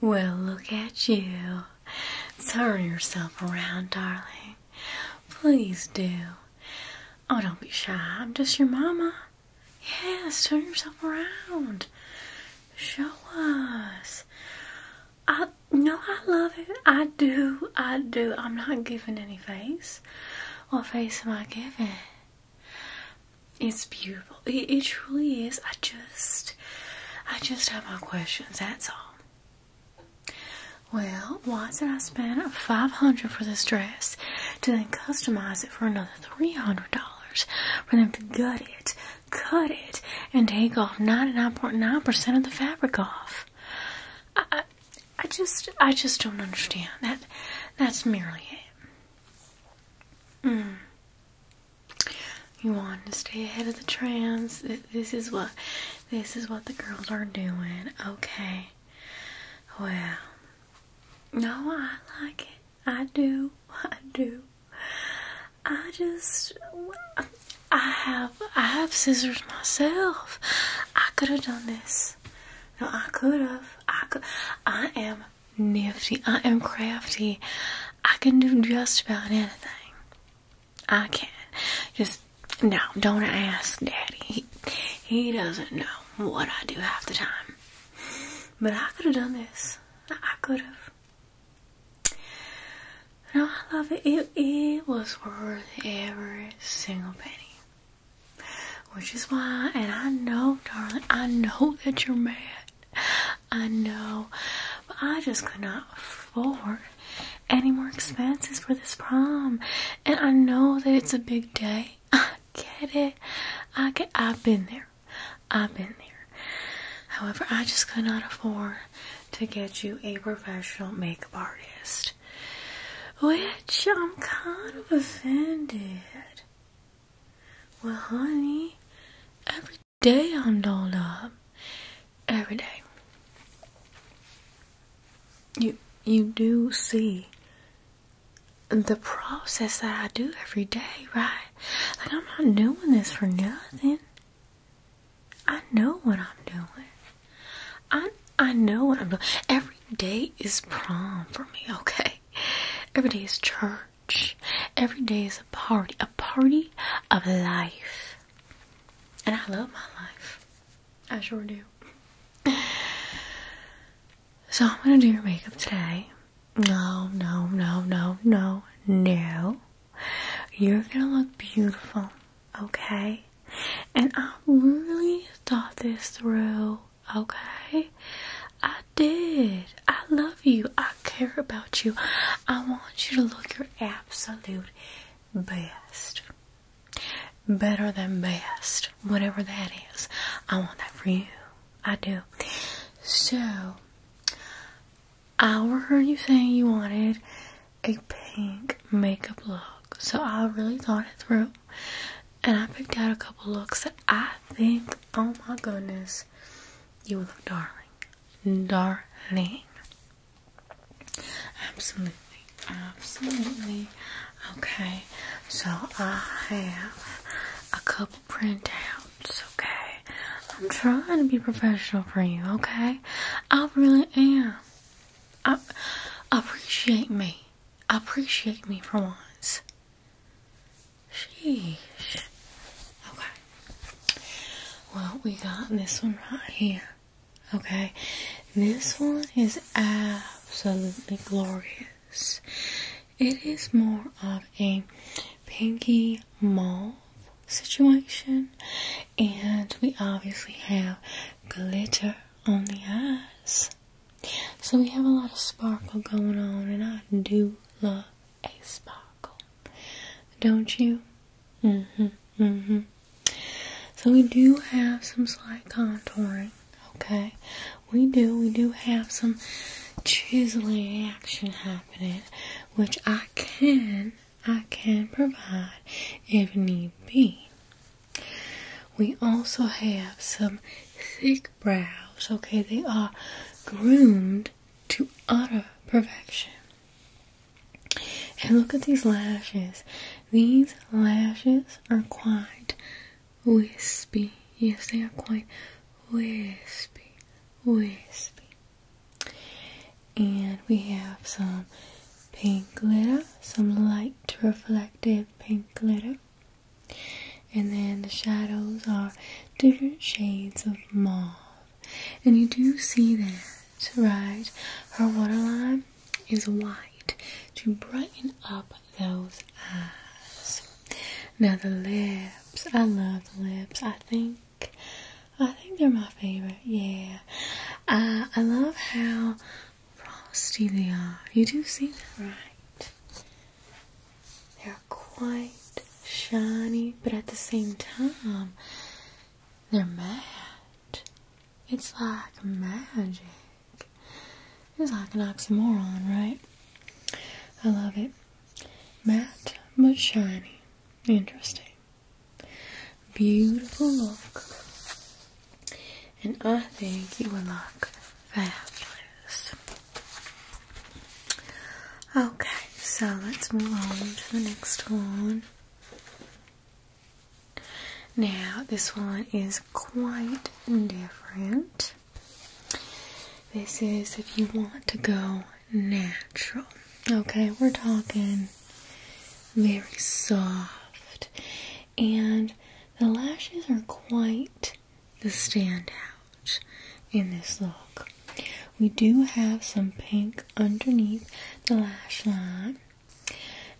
Well, look at you. Turn yourself around, darling. Please do. Oh, don't be shy. I'm just your mama. Yes, turn yourself around. Show us. I no, I love it. I do. I do. I'm not giving any face. What face am I giving? It's beautiful. It truly is. I just, I just have my questions. That's all. Well, why did I spend five hundred for this dress to then customize it for another three hundred dollars for them to gut it, cut it, and take off ninety nine point nine percent of the fabric off? I, I, just, I just don't understand that. That's merely it. Mm. You want to stay ahead of the trends. This is what this is what the girls are doing. Okay. Well, no, I like it. I do. I do. I just I have I have scissors myself. I could have done this. No, I could have. I could I am nifty. I am crafty. I can do just about anything. I can. Just no, don't ask Daddy. He, doesn't know what I do half the time. But I could have done this. I could have. No, I love it. It was worth every single penny. Which is why, and I know, darling, I know that you're mad. I know, but I just could not afford any more expenses for this prom. And I know that it's a big day. I get it. I get. I've been there. I've been there. However, I just could not afford to get you a professional makeup artist, which I'm kind of offended. Well, honey, every day I'm dolled up every day. You you do see the process that I do every day, right? Like I'm not doing this for nothing. I know what I'm doing. I I know what I'm doing. Every day is prom for me, okay? Every day is church. Every day is a party, a party of life. And I love my life. I sure do. So I'm gonna do your makeup today. No, no, no, no, no, no. You're gonna look beautiful, okay? And I really thought this through, okay? I did. I love you. I care about you. I want you to look your absolute best. Better than best. Whatever that is. I want that for you. I do. So, I heard you saying you wanted a pink makeup look. So, I really thought it through. And I picked out a couple looks that I think, oh my goodness, you look darling darling. Absolutely, absolutely. Okay, so I have a couple printouts, okay? I'm trying to be professional for you, okay? I really am. I appreciate me. Appreciate me for once. Sheesh. Okay. Well, we got this one right here. Okay, this one is absolutely glorious. It is more of a pinky mauve situation, and we obviously have glitter on the eyes. So we have a lot of sparkle going on, and I do love a sparkle, don't you? Mm-hmm, mm-hmm. So we do have some slight contouring, okay? We do, we do have some chiseling action happening, which I can, I can provide if need be. We also have some thick brows, okay? They are groomed to utter perfection. And look at these lashes. These lashes are quite wispy. Yes, they are quite wispy. Wispy. And we have some pink glitter, some light reflective pink glitter. And then the shadows are different shades of mauve. And you do see that, right? Her waterline is white to brighten up those eyes. Now the lips, I love the lips. I think I think they're my favorite, yeah. I love how frosty they are. You do see that, right? They're quite shiny, but at the same time, they're matte. It's like magic. It's like an oxymoron, right? I love it. Matte but shiny. Interesting. Beautiful look. And I think you would look fabulous. Okay, so let's move on to the next one. Now, this one is quite different. This is if you want to go natural. Okay, we're talking very soft, and the lashes are quite the standout in this look. We do have some pink underneath the lash line.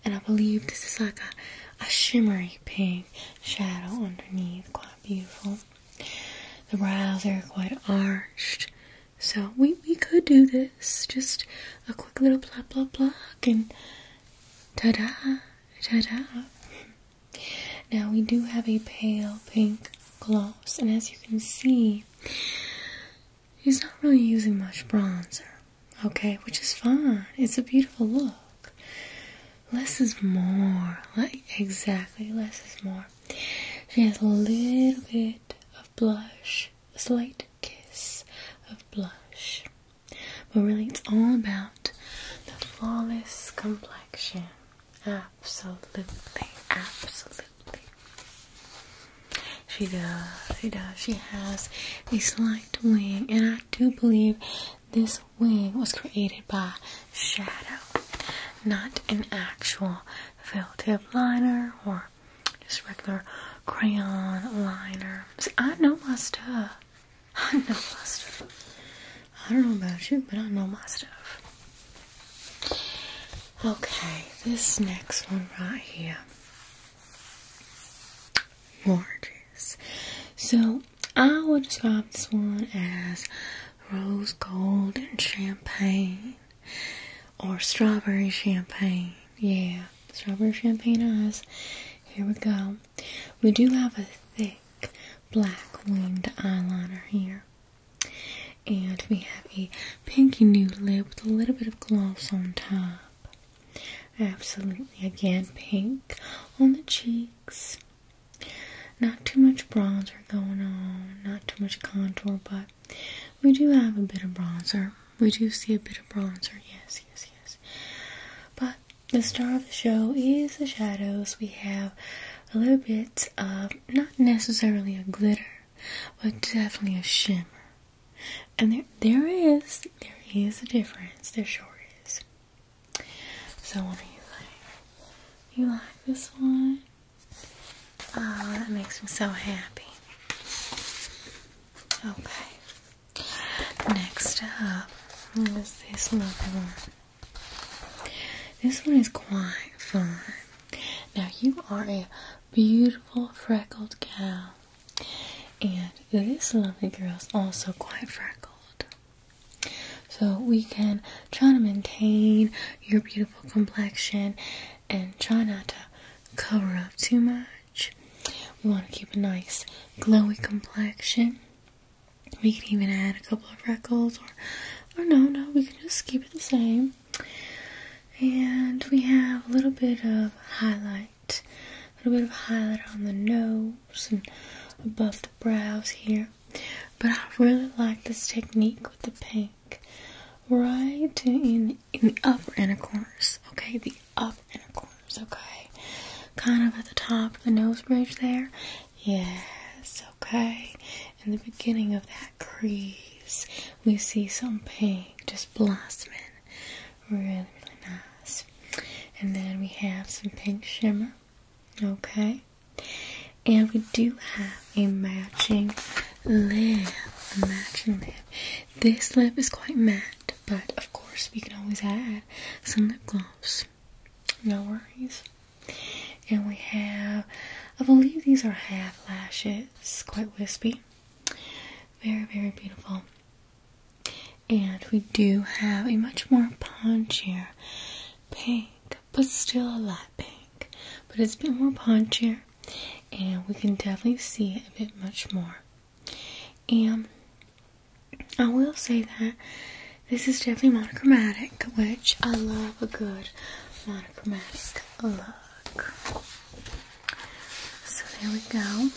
And I believe this is like a, a shimmery pink shadow underneath. Quite beautiful. The brows are quite arched. So we, we could do this. Just a quick little pluck, pluck, pluck, and ta-da, ta-da. Now we do have a pale pink gloss, and as you can see, he's not really using much bronzer, okay, which is fine. It's a beautiful look. Less is more. Like exactly, less is more. She has a little bit of blush, a slight kiss of blush. But really it's all about the flawless complexion. Absolutely, absolutely. She does, she does. She has a slight wing, and I do believe this wing was created by shadow, not an actual felt tip liner or just regular crayon liner. I know my stuff. I know my stuff. I don't know about you, but I know my stuff. Okay, this next one right here. Gorgeous. So I would describe this one as rose gold and champagne or strawberry champagne. Yeah, strawberry champagne eyes. Here we go. We do have a thick black winged eyeliner here. And we have a pinky nude lip with a little bit of gloss on top. Absolutely, again, pink on the cheeks. Not too much bronzer going on, not too much contour, but we do have a bit of bronzer. We do see a bit of bronzer, yes, yes, yes. But the star of the show is the shadows. We have a little bit of not necessarily a glitter, but definitely a shimmer. And there, there is, there is a difference. There sure is. So what are you like? You like this one? Oh, that makes me so happy. Okay. Next up is this lovely one. This one is quite fun. Now you are a beautiful freckled gal. And this lovely girl is also quite freckled. So we can try to maintain your beautiful complexion and try not to cover up too much. We want to keep a nice glowy complexion. We can even add a couple of freckles or or no no we can just keep it the same and we have a little bit of highlight, a little bit of highlight on the nose and above the brows here. But I really like this technique with the pink, right in in the upper inner corners. Okay, the upper inner corners. Okay, kind of at the top of the nose bridge there. Yes. Okay, in the beginning of that crease. We see some pink just blossoming. Really, really nice. And then we have some pink shimmer. Okay. And we do have a matching lip. A matching lip. This lip is quite matte, but of course we can always add some lip gloss. No worries. And we have, I believe these are half lashes, quite wispy. Very, very beautiful. And we do have a much more punchier pink, but still a light pink. But it's a bit more punchier, and we can definitely see a bit much more. And I will say that this is definitely monochromatic, which I love a good monochromatic look. So there we go.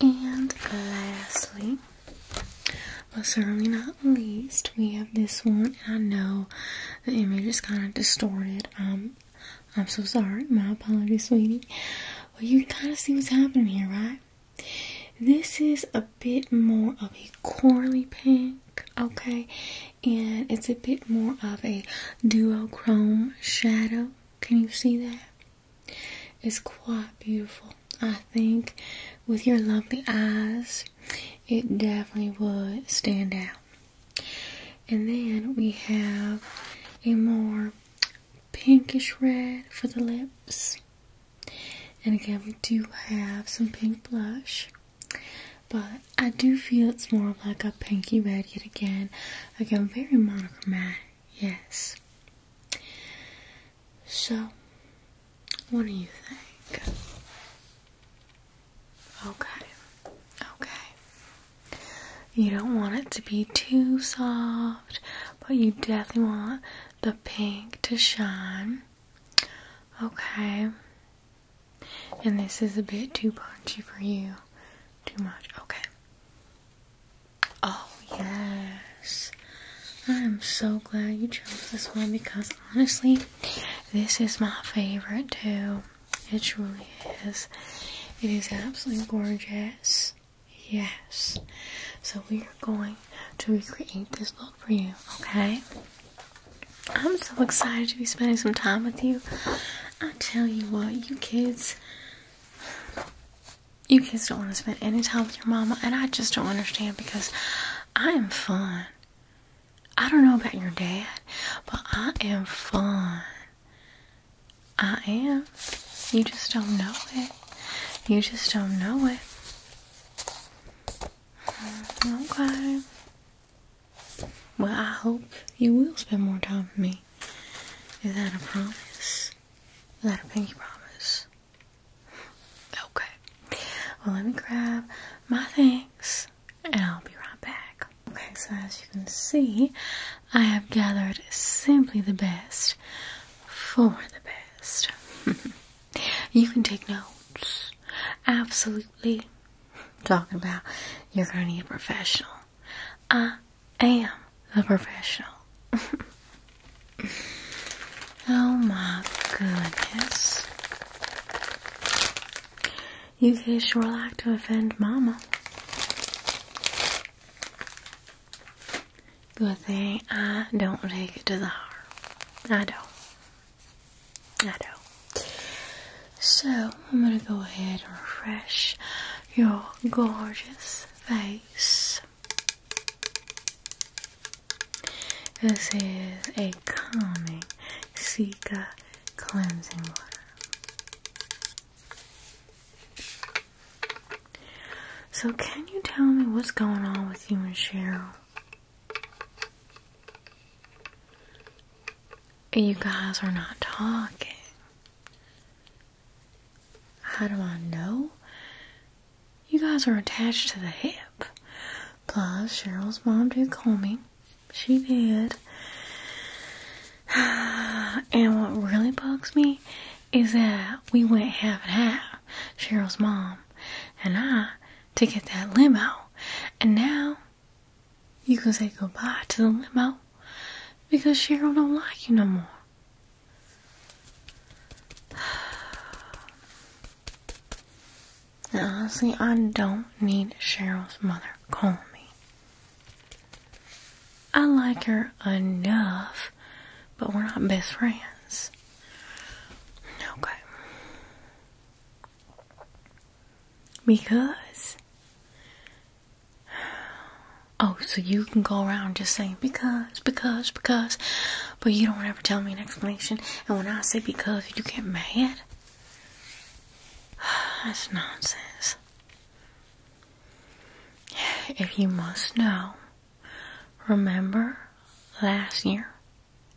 And lastly, but certainly not least, we have this one. I know the image is kind of distorted. Um, I'm so sorry. My apologies, sweetie. Well, you can kind of see what's happening here, right? This is a bit more of a corally pink, okay? and it's a bit more of a duochrome shadow. Can you see that? It's quite beautiful. I think with your lovely eyes, it definitely would stand out. And then we have a more pinkish red for the lips. And again, we do have some pink blush. But I do feel it's more like a pinky red yet again. Again, very monochromatic, yes. So, what do you think? Okay, okay. You don't want it to be too soft, but you definitely want the pink to shine. Okay. And this is a bit too punchy for you. Too much. Okay. Oh, yes. I'm so glad you chose this one because honestly, this is my favorite too. It truly is. It is absolutely gorgeous. Yes. So we are going to recreate this look for you, okay? I'm so excited to be spending some time with you. I tell you what, you kids, you kids don't want to spend any time with your mama, and I just don't understand because I am fun. I don't know about your dad, but I am fun. I am. You just don't know it. You just don't know it. Mm-hmm. Okay. Well, I hope you will spend more time with me. Is that a promise? Is that a pinky promise? Okay. Well, let me grab my things and I'll be right back. Okay, so as you can see, I have gathered simply the best for the best. you can take notes. Absolutely talking about. You're going to need a professional. I am the professional. oh my goodness. You kids sure like to offend Mama. Good thing I don't take it to the heart. I don't. I know. So I'm gonna go ahead and refresh your gorgeous face. This is a calming Sika cleansing water. So can you tell me what's going on with you and Cheryl? You guys are not talking. How do I know? You guys are attached to the hip. Plus, Cheryl's mom did call me. She did. And what really bugs me is that we went half and half, Cheryl's mom and I, to get that limo. And now you can say goodbye to the limo because Cheryl don't like you no more. Now, honestly, I don't need Cheryl's mother calling me. I like her enough, but we're not best friends. Okay. Because. Oh, so you can go around just saying because, because, because, but you don't ever tell me an explanation. And when I say because, you get mad. That's nonsense. If you must know, remember last year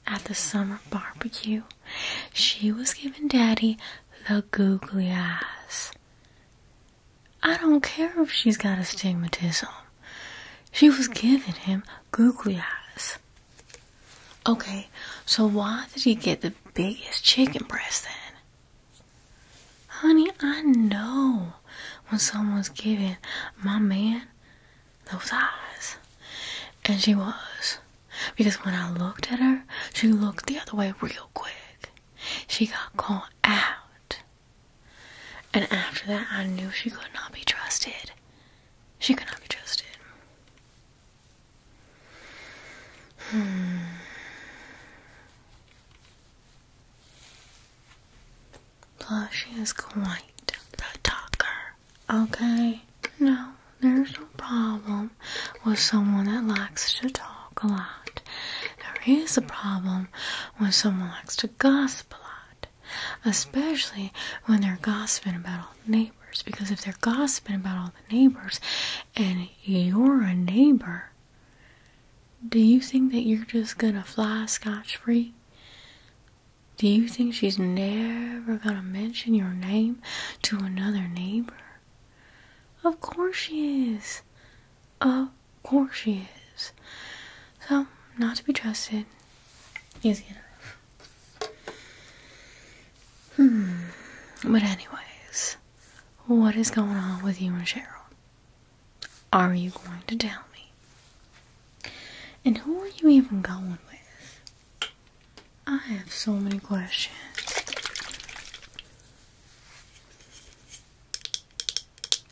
at the summer barbecue, she was giving Daddy the googly eyes. I don't care if she's got astigmatism. She was giving him googly eyes. Okay, so why did he get the biggest chicken breast then? Honey, I know when someone's giving my man those eyes. And she was. Because when I looked at her, she looked the other way real quick. She got caught out. And after that, I knew she could not be trusted. She could not be trusted. Hmm. Plus, she is quite the talker. Okay? No there's no problem with someone that likes to talk a lot. There is a problem when someone likes to gossip a lot, especially when they're gossiping about all the neighbors. Because if they're gossiping about all the neighbors and you're a neighbor, do you think that you're just gonna fly scotch free? Do you think she's never gonna mention your name to another neighbor? Of course she is. Of course she is. So, not to be trusted. Easy enough. Hmm. But, anyways, what is going on with you and Cheryl? Are you going to tell me? And who are you even going with? I have so many questions.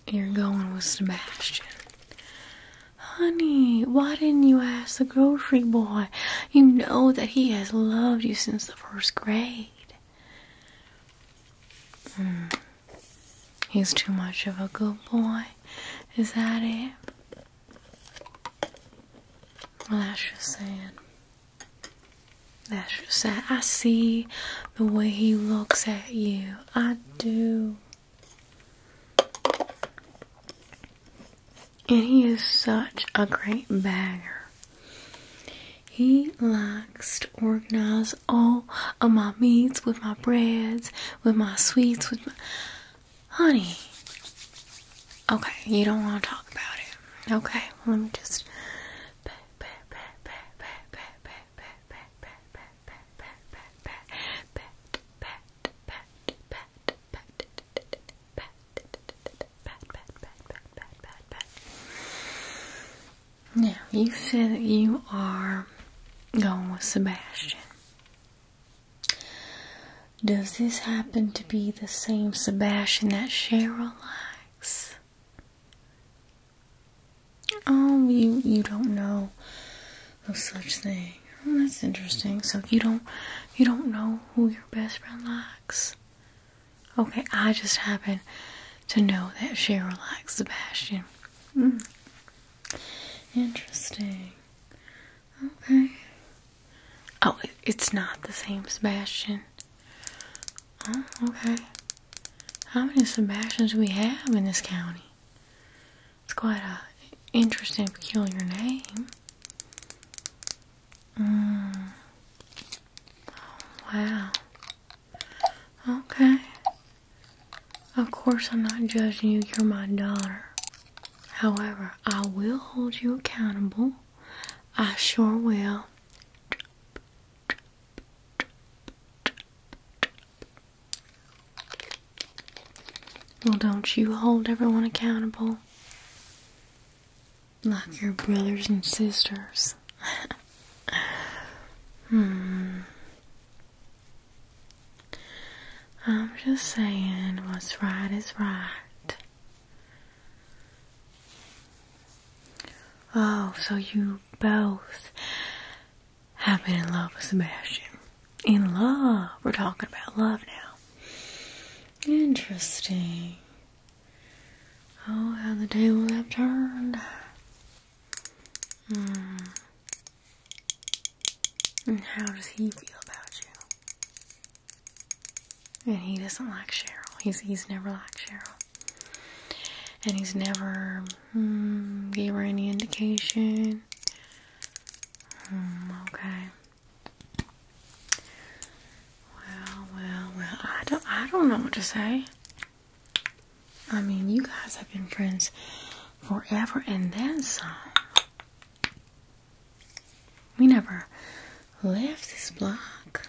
You're going with Sebastian. Honey, why didn't you ask the grocery boy? You know that he has loved you since the first grade. Hmm. He's too much of a good boy. Is that it? Well, that's just sad. That's just said, I see the way he looks at you. I do. And he is such a great bagger. He likes to organize all of my meats with my breads, with my sweets, with my. Honey. Okay, you don't want to talk about it. Okay. Let me just Yeah, you said that you are going with Sebastian. Does this happen to be the same Sebastian that Cheryl likes? Oh, you you don't know of such thing. Oh, that's interesting. So you don't you don't know who your best friend likes. Okay, I just happen to know that Cheryl likes Sebastian. Mm. Interesting. Okay. Oh, it's not the same Sebastian. Oh, okay. How many Sebastians do we have in this county? It's quite a interesting, peculiar name. Mm. wow. Okay. Of course, I'm not judging you. You're my daughter. However, I will hold you accountable. I sure will. Well, don't you hold everyone accountable like your brothers and sisters. hmm. I'm just saying, what's right is right. Oh, so you both have been in love with Sebastian. In love. We're talking about love now. Interesting. Oh, how the tables have turned. Hmm. And how does he feel about you? And he doesn't like Cheryl. He's he's never liked Cheryl. And he's never mm, gave her any indication. Hmm, okay. Well, well, well. I don't I don't know what to say. I mean, you guys have been friends forever and then some. We never left this block.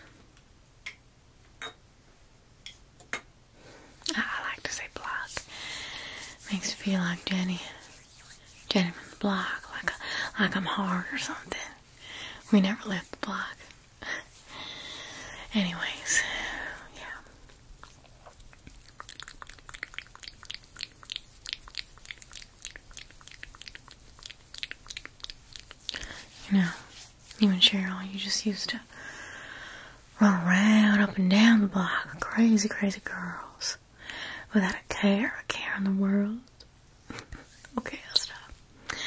I like to say block. Makes me feel like Jenny, Jennyman's block, like like I'm hard or something. We never left the block. Anyways, yeah. You you and Cheryl, you just used to run around up and down the block, crazy, crazy girls, without a care, a care in the world. okay, I'll stop.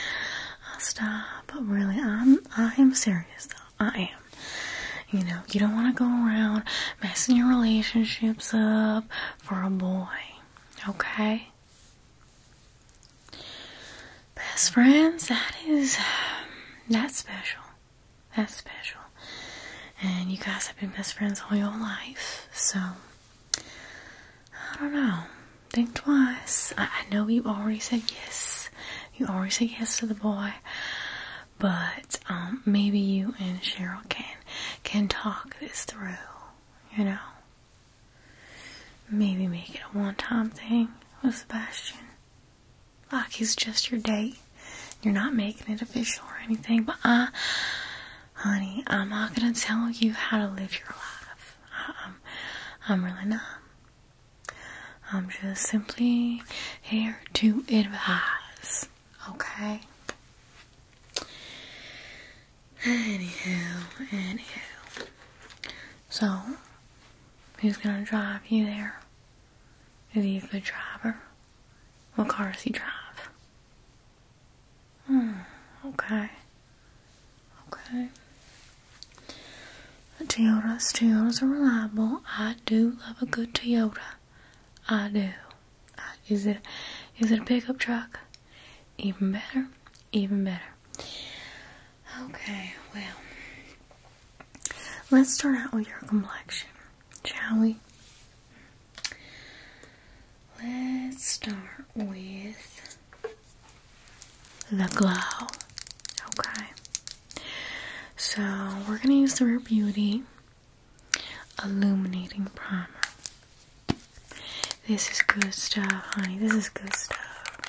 I'll stop. But really, I'm I am serious though. I am. You know, you don't want to go around messing your relationships up for a boy. Okay? Best friends, that is, um, special. that special. And you guys have been best friends all your life, so I don't know. Think twice. I, know you already said yes. You already said yes to the boy, but um, maybe you and Cheryl can can talk this through. You know, Maybe make it a one time thing with Sebastian. Like he's just your date. You're not making it official or anything, but I, uh, honey, I'm not gonna tell you how to live your life. I, am I'm really not. I'm just simply here to advise, okay? Anyhow, anyhow. So, who's gonna drive you there? Is he the driver? What car does he drive? Hmm, okay. Okay. Toyotas, Toyotas are reliable. I do love a good Toyota. I do. is it is it a pickup truck? Even better, even better. Okay, well, let's start out with your complexion, shall we? Let's start with the glow. Okay, so we're gonna use the Rare Beauty Illuminating Primer. This is good stuff, honey. This is good stuff.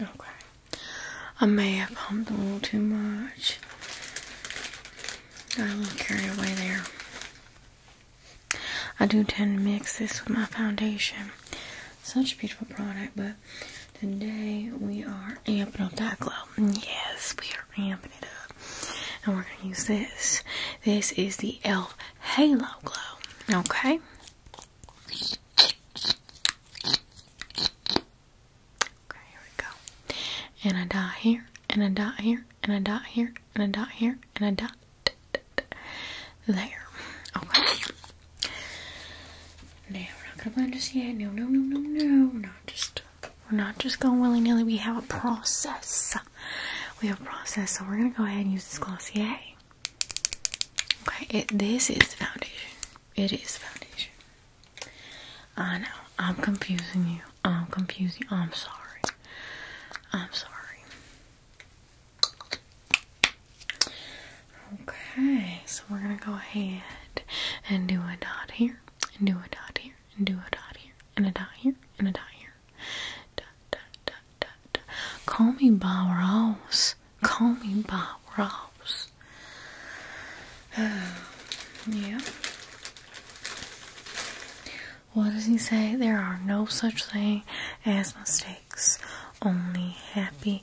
Okay. I may have pumped a little too much. Got a little carried away there. I do tend to mix this with my foundation. Such a beautiful product, but today we are amping up that glow. Yes, we are amping it up. And we're gonna use this. This is the e.l.f. Halo Glow. Okay. Okay, here we go. And a dot here, and a dot here, and a dot here, and a dot here, and a dot there. Okay. No, we're not gonna blend just yet. No, no, no, no, no. We're not just we're not just going willy nilly. We have a process. We have a process, so we're gonna go ahead and use this Glossier. Okay, this is foundation. It is foundation. I know. I'm confusing you. I'm confusing. You. I'm sorry. I'm sorry. Okay, so we're gonna go ahead and do a dot here, and do a dot here, and do a dot here, and a dot here, and a dot here. Dot, dot, dot, dot, dot. Call me Bob Ross. Call me Bob Ross. Oh, yeah. What does he say? There are no such thing as mistakes, only happy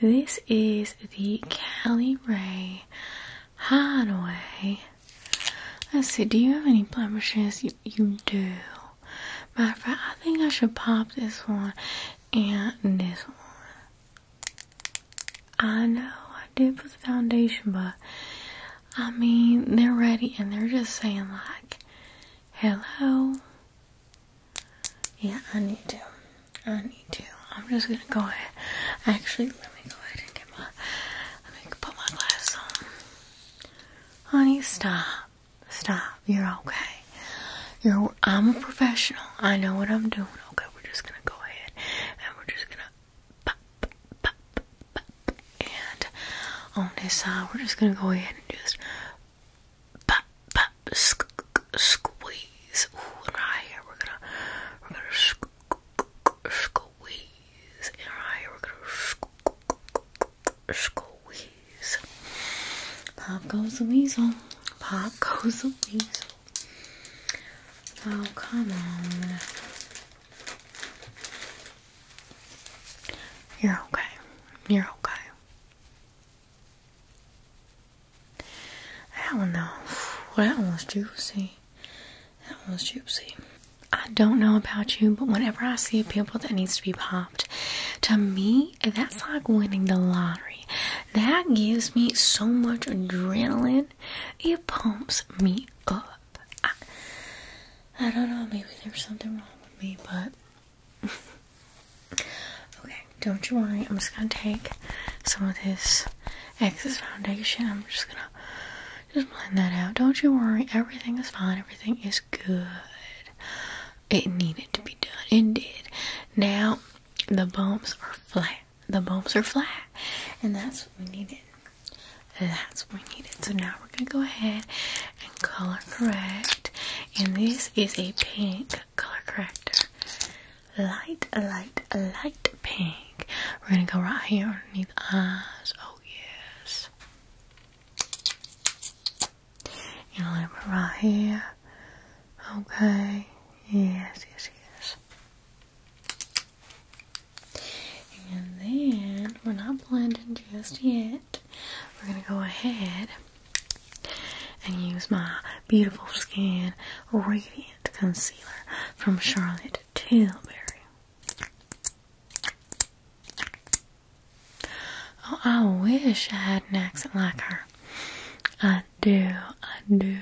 this is the Cali Ray Hideaway. I said, do you have any blemishes? You, do. Matter of I think I should pop this one and this one. I know I did put the foundation, but I mean, they're ready and they're just saying, like, hello, yeah, I need to. I need to. I'm just gonna go ahead. Actually, let me go ahead and get my. Let me put my glasses on. Honey, stop. Stop. You're okay. You're. I'm a professional. I know what I'm doing. Okay, we're just gonna go ahead and we're just gonna pop, pop, pop, pop. And on this side, we're just gonna go ahead and just pop, pop, squeeze. Ooh, and right we're gonna, we're gonna squeeze. And right here we're gonna squeeze. Pop goes the weasel. Pop goes the weasel. Oh, come on. You're okay. You're okay. I don't know. What that one's juicy. That one's juicy. I don't know about you, but whenever I see a pimple that needs to be popped, to me, that's like winning the lottery. That gives me so much adrenaline. It pumps me up. I don't know, maybe there's something wrong with me, but okay, don't you worry. I'm just gonna take some of this excess foundation. I'm just gonna just blend that out. Don't you worry. Everything is fine. Everything is good. It needed to be done. It did. Now the bumps are flat. The bumps are flat, and that's what we needed. That's what we needed. So now we're gonna go ahead and color correct. And this is a pink color corrector. Light, light, light pink. We're gonna go right here underneath the eyes. Oh yes. And a little bit right here. Okay. Yes, yes, yes. And then we're not blending just yet. We're gonna go ahead and use my beautiful skin radiant concealer from Charlotte Tilbury. Oh, I wish I had an accent like her. I do, I do.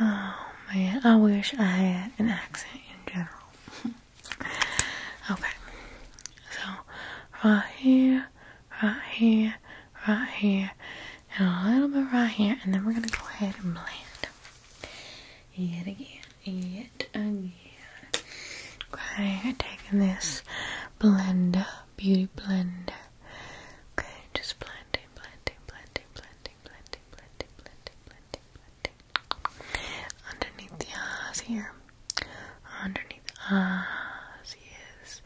Oh man, I wish I had an accent in general. okay, so right here, right here, right here, and a little bit right here, and then we're gonna go ahead and blend. Yet again, yet again. Okay, taking this blender, beauty blender. Okay, just blending, blending, blending, blending, blending, blending, blending, blending, blending. Underneath the eyes here underneath the eyes, yes.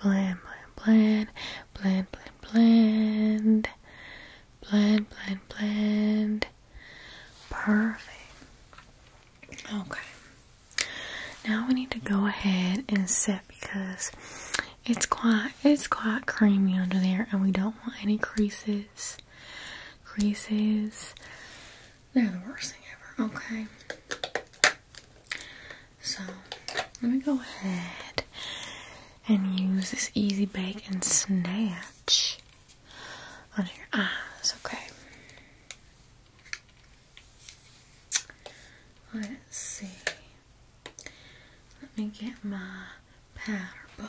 Blend, blend, blend, blend, blend, blend, blend, blend, blend. Perfect. Okay. Now we need to go ahead and set because it's quite it's quite creamy under there, and we don't want any creases. Creases. They're the worst thing ever. Okay. So let me go ahead and use this easy bake and snatch under your eyes, okay? Let's see. Let me get my powder puff.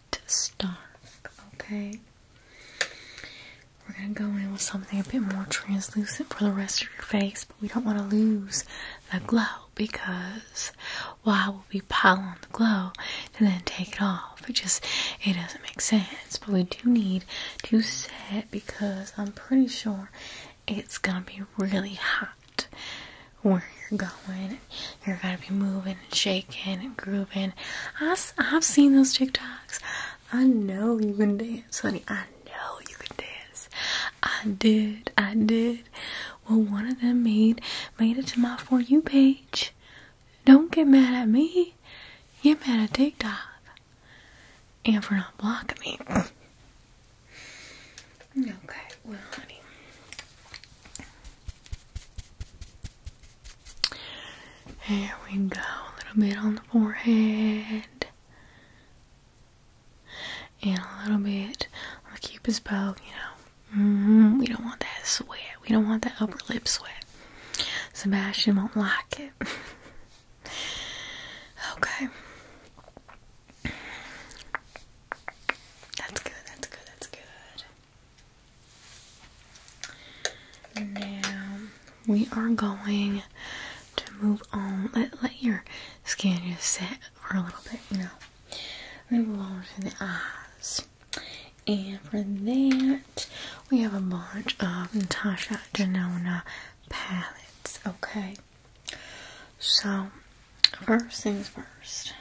To stark. Okay. We're gonna go in with something a bit more translucent for the rest of your face, but we don't want to lose the glow because why would we pile on the glow and then take it off? It just it doesn't make sense. But we do need to set because I'm pretty sure it's gonna be really hot where you're going you're gonna be moving and shaking and grooving. I've, I've seen those TikToks. I know you can dance, honey. I know you can dance. I did. I did. Well, one of them made made it to my for you page. Don't get mad at me. Get mad at TikTok. And for not blocking me. okay, well, honey. Here we go, a little bit on the forehead. And a little bit on the cupid's bow, you know. Mm-hmm, we don't want that sweat. We don't want that upper lip sweat. Sebastian won't like it. okay. That's good, that's good, that's good. Now we are going to move on. Let let your skin just set for a little bit, you know. We're going on to the eyes. And for that, we have a bunch of Natasha Denona palettes, okay? So, first things first,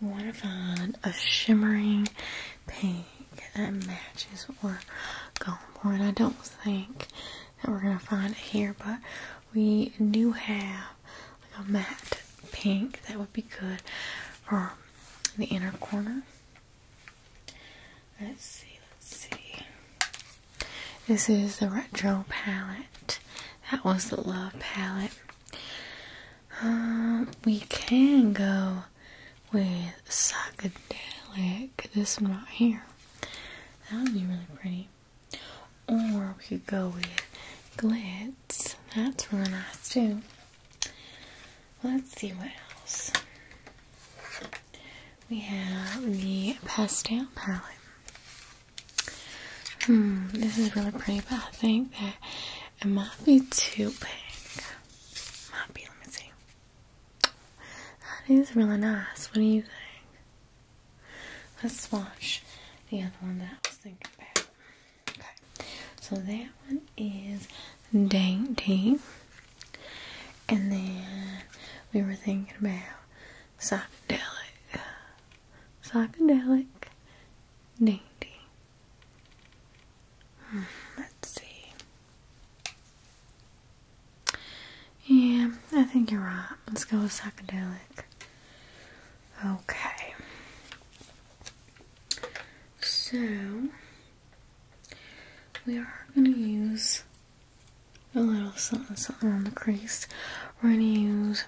we want to find a shimmering pink that matches what we're going for. And I don't think that we're going to find it here, but we do have a matte pink that would be good for the inner corner. Let's see, let's see. This is the retro palette. That was the love palette. Um, we can go with psychedelic. This one right here. That would be really pretty. Or we could go with glitz. That's really nice too. Let's see what else. We have the pastel palette. Hmm, this is really pretty, but I think that it might be too big. Might be, let me see. That is really nice. What do you think? Let's swatch the other one that I was thinking about. Okay, so that one is dainty. And then we were thinking about psychedelic. Psychedelic dainty. Hmm, let's see. Yeah, I think you're right. Let's go with psychedelic. Okay. So, we are going to use a little something something on the crease. We're going to use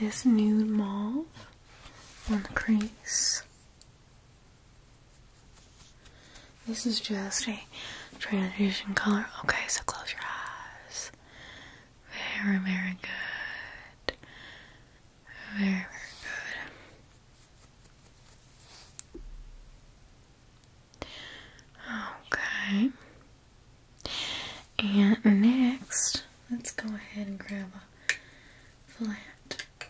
this nude mauve on the crease. This is just a transition color. Okay, so close your eyes. Very, very good. Very, very good. Okay. And next, let's go ahead and grab a flat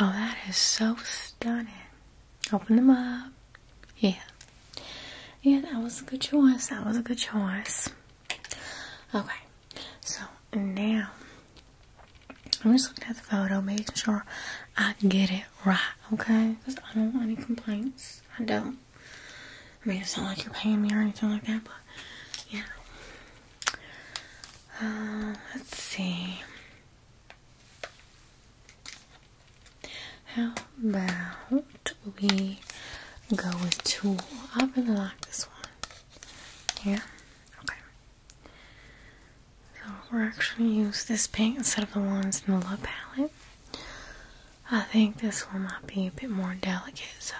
Oh, that is so stunning. Open them up. Yeah. Yeah, that was a good choice. That was a good choice. Okay. So now I'm just looking at the photo, making sure I get it right, okay? Because I don't want any complaints. I don't. I mean, it's not like you're paying me or anything like that, but yeah. Uh, let's see. How about we go with two? I really like this one. Yeah? Okay. So we're actually use this paint instead of the ones in the Love palette. I think this one might be a bit more delicate, so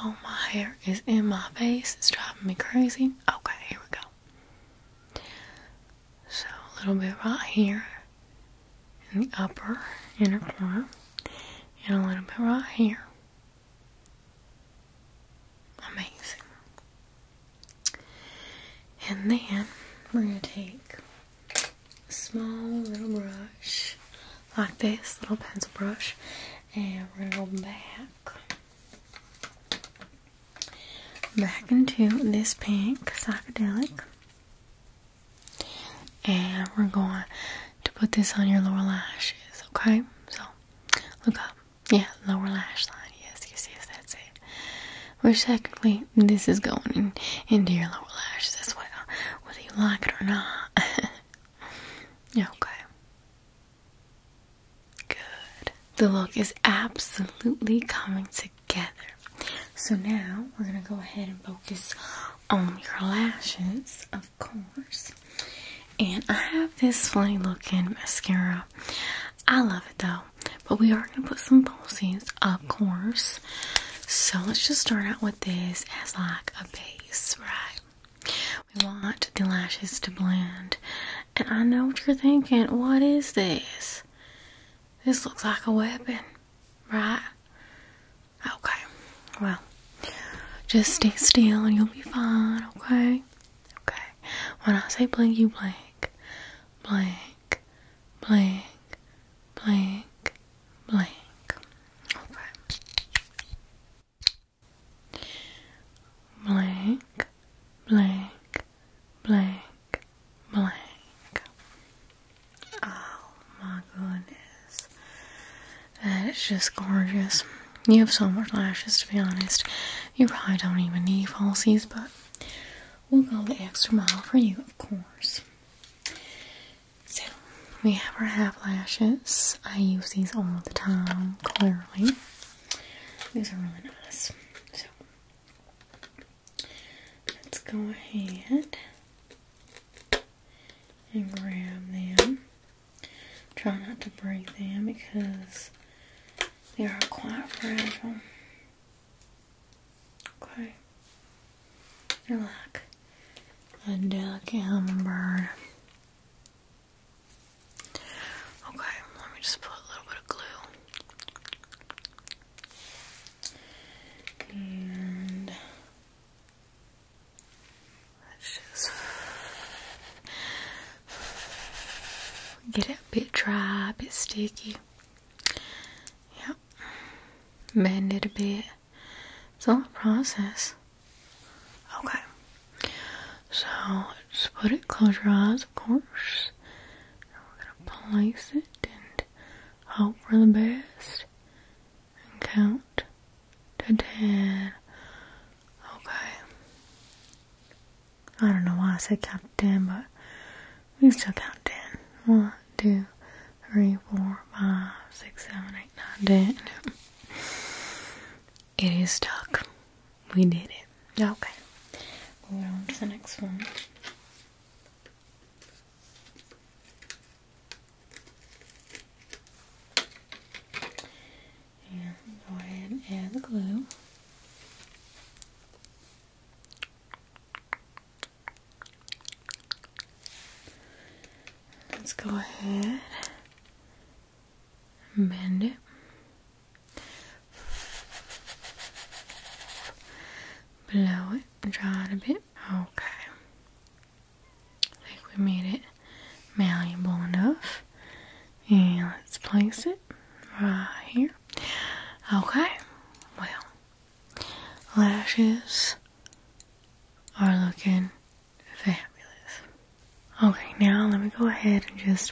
oh my hair is in my face, it's driving me crazy. Okay, here we go. So a little bit right here in the upper inner corner and a little bit right here. Amazing. And then we're going to take a small little brush like this, little pencil brush, and we're going to go back back into this pink psychedelic. And we're going to put this on your lower lashes, okay? So look up. Yeah, lower lash line. Yes, you see if that's it. We're technically this is going into your lower lashes as well, whether you like it or not. okay. Good. The look is absolutely coming together. So now we're going to go ahead and focus on your lashes, of course. And I have this funny looking mascara. I love it though. But we are going to put some falsies, of course. So let's just start out with this as like a base, right? We want the lashes to blend and I know what you're thinking. What is this? This looks like a weapon, right? Okay. Well, just stay still and you'll be fine, okay? Okay. When I say blink, you blink. Blink, blink, blink, blink. Okay. Blink, blink, blank, blank. Oh my goodness. That is just gorgeous. You have so much lashes, to be honest. You probably don't even need falsies, but we'll go the extra mile for you, of course. So, we have our half lashes. I use these all the time, clearly. These are really nice. So let's go ahead and grab them. Try not to break them because they are quite fragile. Okay. They're like a duck hummingbird. Okay, let me just put a little bit of glue. And let's just get it a bit dry, a bit sticky. Yep. Bend it a bit. It's all a process. Okay. So just put it, close your eyes, of course. And we're gonna place it and hope for the best and count to ten. Okay. I don't know why I said count to ten, but we still count ten. One, two, three, four, five, six, seven, eight, nine, ten. It is stuck. We did it. Okay. Moving on to the next one. And go ahead and add the glue. Let's go ahead and bend it. Blow it, draw it a bit. Okay. I think we made it malleable enough. And let's place it right here. Okay. Well, lashes are looking fabulous. Okay, now let me go ahead and just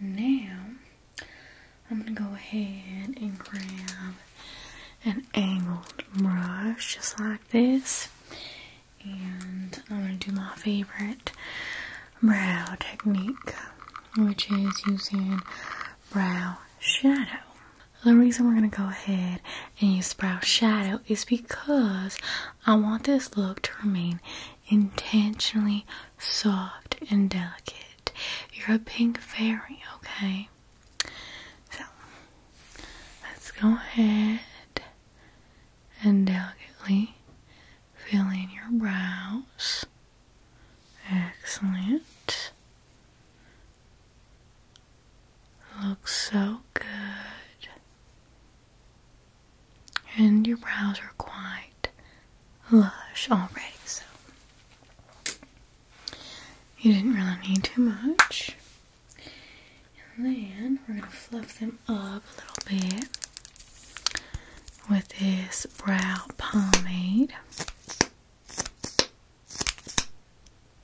Now, I'm going to go ahead and grab an angled brush just like this. And I'm going to do my favorite brow technique, which is using brow shadow. The reason we're going to go ahead and use brow shadow is because I want this look to remain intentionally soft and delicate. You're a pink fairy, okay? So, let's go ahead and delicately filling your brows. Excellent. Looks so good and your brows are quite lush already, so you didn't really need too much. And then we're going to fluff them up a little bit with this brow pomade.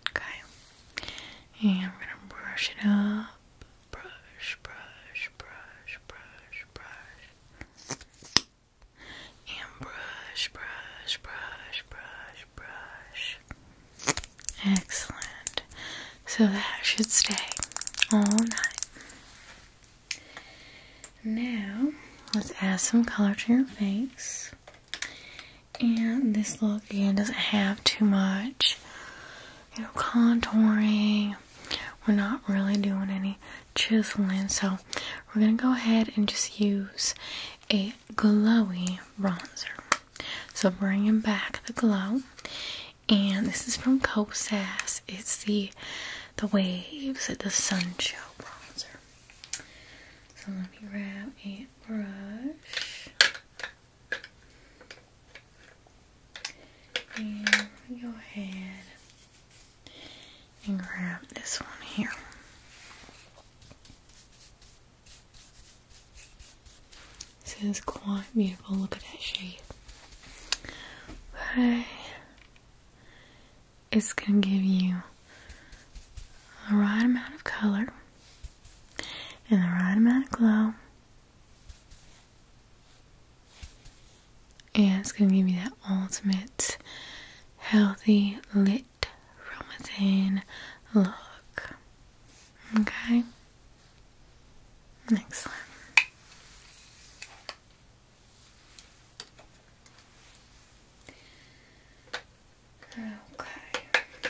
Okay, and we're going to brush it up. Brush, brush, brush, brush, brush. And brush, brush, brush, brush, brush. Excellent. So that should stay all night. Now, let's add some color to your face. And this look again doesn't have too much, you know, contouring we're not really doing any chiseling, so we're gonna go ahead and just use a glowy bronzer. So bringing back the glow, and this is from Kosas. It's the the waves, the sun show bronzer. So let me grab a brush. And go ahead and grab this one here. This is quite beautiful. Look at that shade. But it's going to give you the right amount of color and the right amount of glow and it's gonna give you that ultimate healthy lit from within look. Okay, Next one. Okay.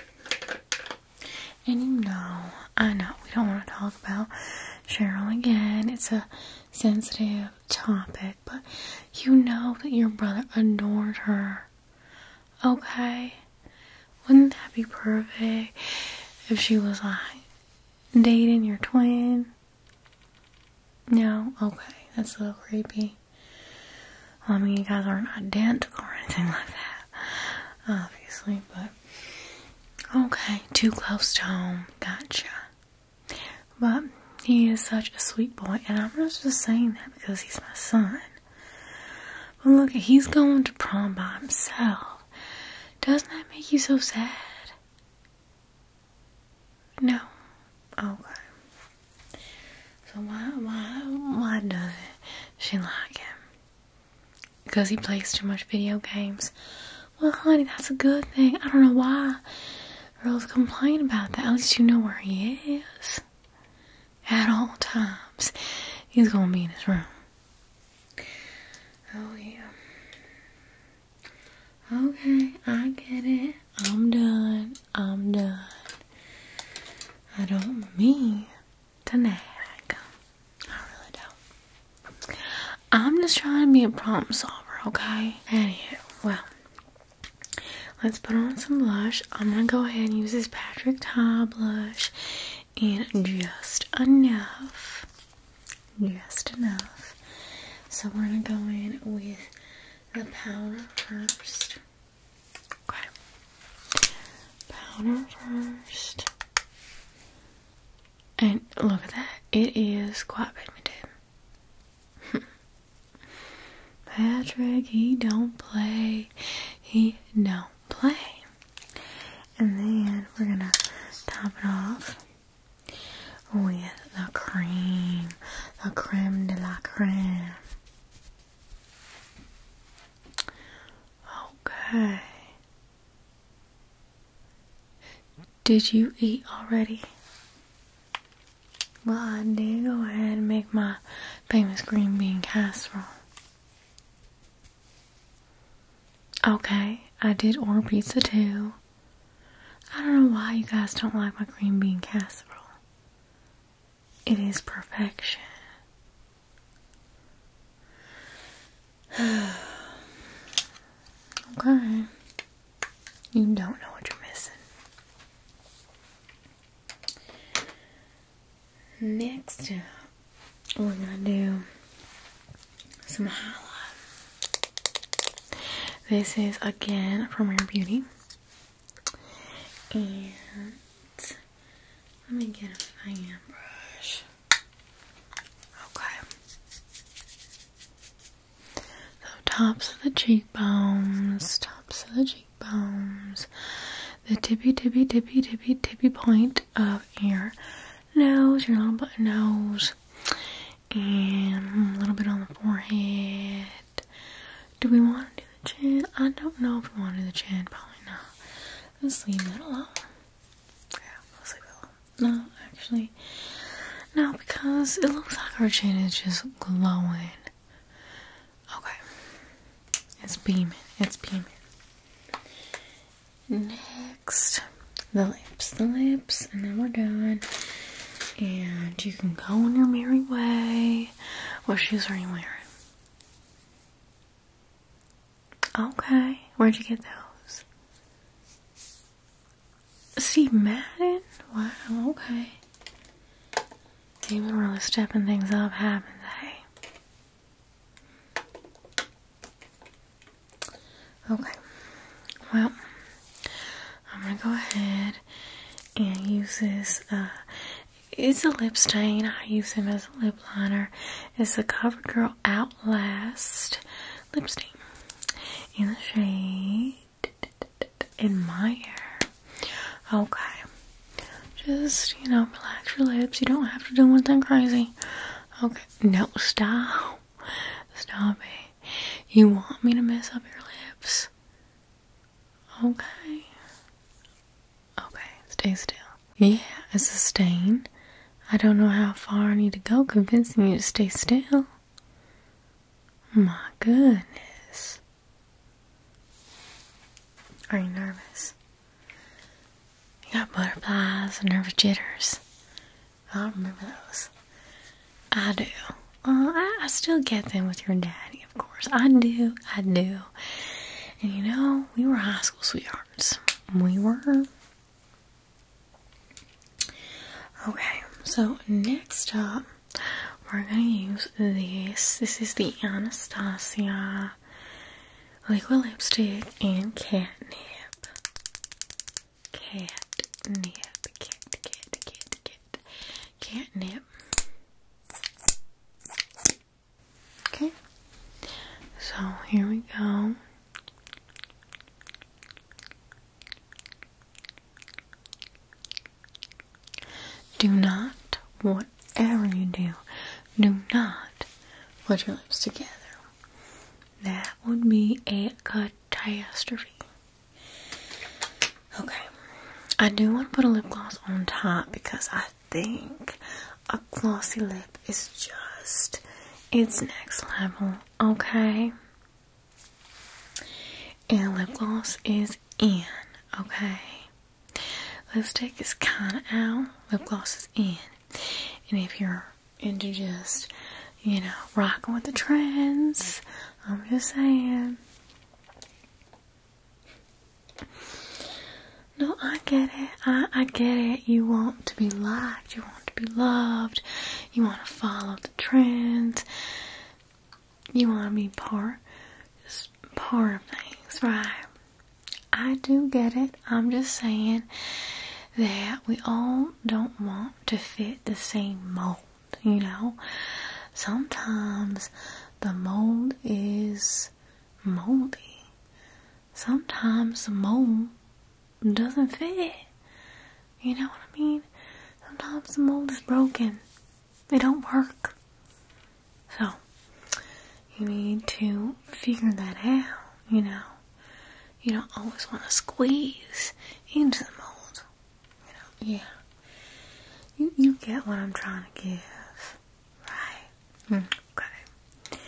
And you know, I know we don't want to talk about Cheryl again. It's a sensitive topic, but you know that your brother adored her. Okay? Wouldn't that be perfect if she was like dating your twin? No? Okay, that's a little creepy. I mean, you guys aren't identical or anything like that, obviously, but okay, too close to home. Gotcha. But he is such a sweet boy, and I'm not just saying that because he's my son. But look, he's going to prom by himself. Doesn't that make you so sad? No. Okay. So why why why doesn't she like him? Because he plays too much video games. Well, honey, that's a good thing. I don't know why Earl's complaining about that. At least you know where he is. At all times. He's gonna be in his room. Oh, yeah. Okay, I get it. I'm done. I'm done. I don't mean to nag. I really don't. I'm just trying to be a problem solver, okay? Anywho, well, let's put on some blush. I'm gonna go ahead and use this Patrick Ta blush and just enough. Just enough. So we're gonna go in with the powder first. Okay. Powder first. And look at that. It is quite pigmented. Patrick, he don't play. He don't play. And then we're gonna top it off with the cream, the creme de la creme. Okay. Did you eat already? Well, I did go ahead and make my famous green bean casserole. Okay, I did order pizza too. I don't know why you guys don't like my green bean casserole. It is perfection. okay. You don't know what you're missing. Next up, we're gonna do some highlight. This is again from Rare Beauty. And let me get a fan brush. Okay. So tops of the cheekbones, tops of the cheekbones, the tippy tippy tippy tippy tippy point of your nose, your little button nose, and a little bit on the forehead. Do we want to do the chin? I don't know if we want to do the chin, probably not. Let's leave that alone. Yeah, let's leave it alone. No, actually. No, because it looks like our chin is just glowing. Okay. It's beaming. It's beaming. Next, the lips. The lips. And then we're done. And you can go on your merry way. What shoes are you wearing? Okay. Where'd you get those? See Madden? Wow, okay. Even really stepping things up, haven't they? Okay. Well, I'm gonna go ahead and use this. Uh, it's a lip stain. I use them as a lip liner. It's the CoverGirl Outlast Lipstick stain in the shade in my hair. Okay. Just, you know, relax your lips. You don't have to do anything crazy. Okay. No, stop. Stop me. You want me to mess up your lips? Okay. Okay, stay still. Yeah, it's a stain. I don't know how far I need to go convincing you to stay still. My goodness. Are you nervous? You got butterflies and nervous jitters. I remember those. I do. Uh, I still get them with your daddy, of course. I do. I do. And you know, we were high school sweethearts. We were Okay, so next up, we're gonna use this. This is the Anastasia liquid lipstick and catnip. Catnip, cat, cat, cat, cat, catnip. Okay, so here we go. Do not, whatever you do, do not put your lips together. That would be a catastrophe. Okay. I do want to put a lip gloss on top because I think a glossy lip is just its next level. Okay? And lip gloss is in, okay? Lipstick is kind of out, lip gloss is in. And if you're into just, you know, rocking with the trends, I'm just saying. No, I get it. I, I get it. You want to be liked, you want to be loved, you want to follow the trends. You want to be part, just part of things, right? I do get it. I'm just saying that we all don't want to fit the same mold, you know? Sometimes the mold is moldy. Sometimes the mold doesn't fit. You know what I mean? Sometimes the mold is broken. They don't work. So, you need to figure that out, you know. You don't always want to squeeze into the mold. You know, yeah. You, you get what I'm trying to give. Right? Hmm. okay.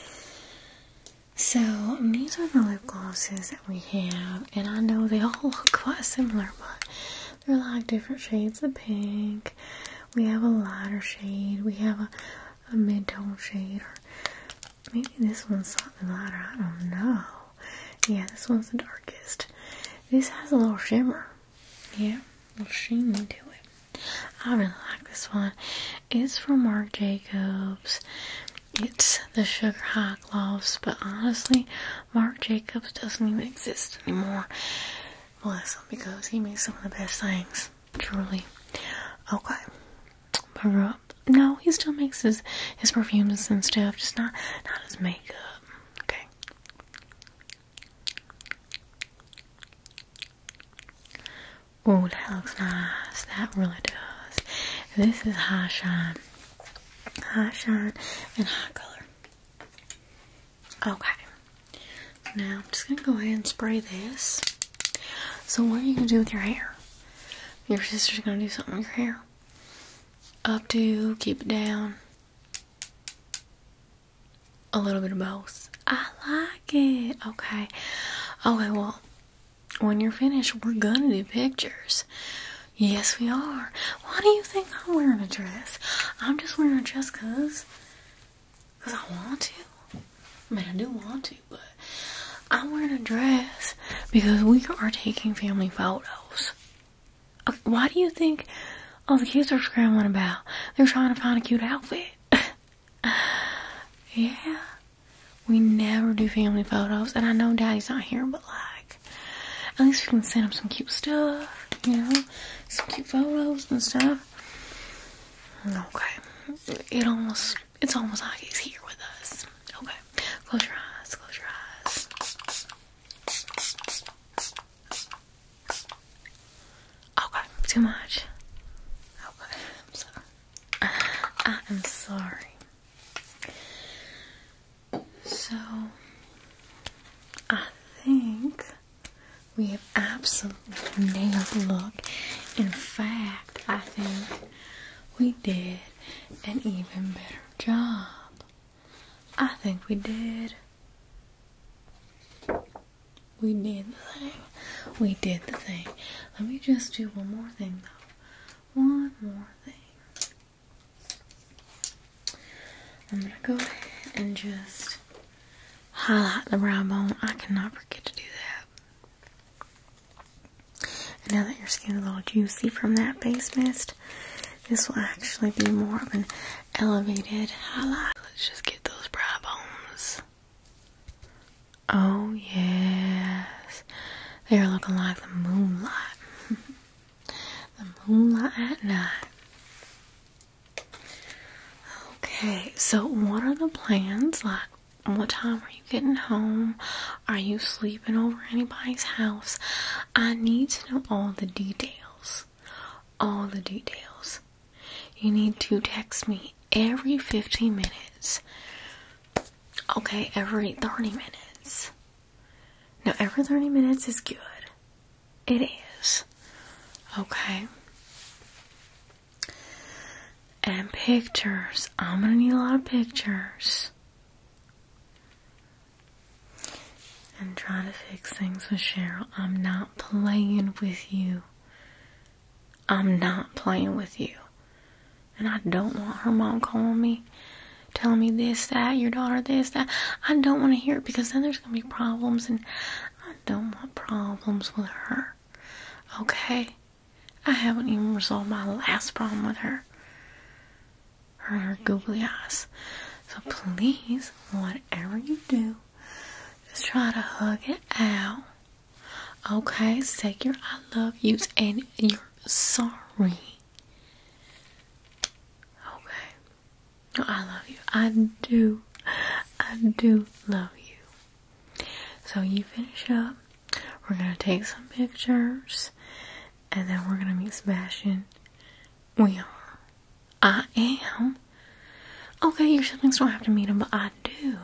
So, these are the lip glosses we have, and I know they all look quite similar, but they're like different shades of pink. We have a lighter shade, we have a, a mid tone shade, or maybe this one's slightly lighter. I don't know. Yeah, this one's the darkest. This has a little shimmer, yeah, a little sheen to it. I really like this one. It's from Marc Jacobs. It's the Sugar High black gloves, but honestly, Marc Jacobs doesn't even exist anymore. Bless him because he makes some of the best things. Truly. Okay. But, no, he still makes his his perfumes and stuff, just not not his makeup. Okay. Oh, that looks nice. That really does. This is high shine, high shine, and high color. Okay. Now I'm just gonna go ahead and spray this. So what are you gonna do with your hair? Your sister's gonna do something with your hair. Up to keep it down. A little bit of both. I like it. Okay. Okay, well, when you're finished, we're gonna do pictures. Yes, we are. Why do you think I'm wearing a dress? I'm just wearing a dress because cause I want to. I mean, I do want to, but I'm wearing a dress because we are taking family photos. Uh, why do you think all the kids are scrambling about? They're trying to find a cute outfit. yeah. We never do family photos, and I know Daddy's not here, but like, at least we can send him some cute stuff, you know, some cute photos and stuff. Okay, it almost it's almost like he's here with us. Okay, close your eyes, close your eyes. Okay, too much. Okay, I'm sorry. I am sorry. So, I think we have absolutely nailed the look. In fact, I think we did an even better job. I think we did. We did the thing. We did the thing. Let me just do one more thing though. One more thing. I'm gonna go ahead and just highlight the brow bone. I cannot forget to do that. now that your skin is a little juicy from that base mist, this will actually be more of an elevated highlight. Let's just get those brow bones. Oh yes, they are looking like the moonlight. The moonlight at night. Okay, so what are the plans? Like, what time are you getting home? Are you sleeping over anybody's house? I need to know all the details. All the details. You need to text me every 15 minutes. Okay, every 30 minutes. Now, every 30 minutes is good. It is. Okay? And pictures. I'm gonna need a lot of pictures. And trying to fix things with Cheryl. I'm not playing with you. I'm not playing with you. And I don't want her mom calling me tell me this, that, your daughter this, that. I don't want to hear it because then there's going to be problems, and I don't want problems with her. Okay? I haven't even resolved my last problem with her. Her googly eyes. So please, whatever you do, just try to hug it out. Okay? Say I love you, and you're sorry. Okay. Oh, I love you. I do. I do love you. So you finish up. We're gonna take some pictures and then we're gonna meet Sebastian. We are. I am. Okay, your siblings don't have to meet him, but I do.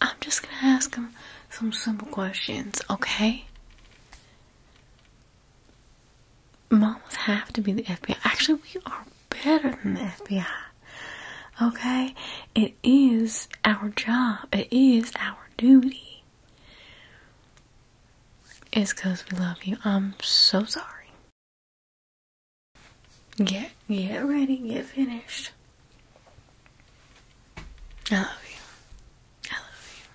I'm just gonna ask him some simple questions, okay? Mamas have to be the FBI. Actually, we are better than the FBI. Okay? It is our job, it is our duty. It's because we love you. I'm so sorry. Get, get ready, get finished. I love you. I love you.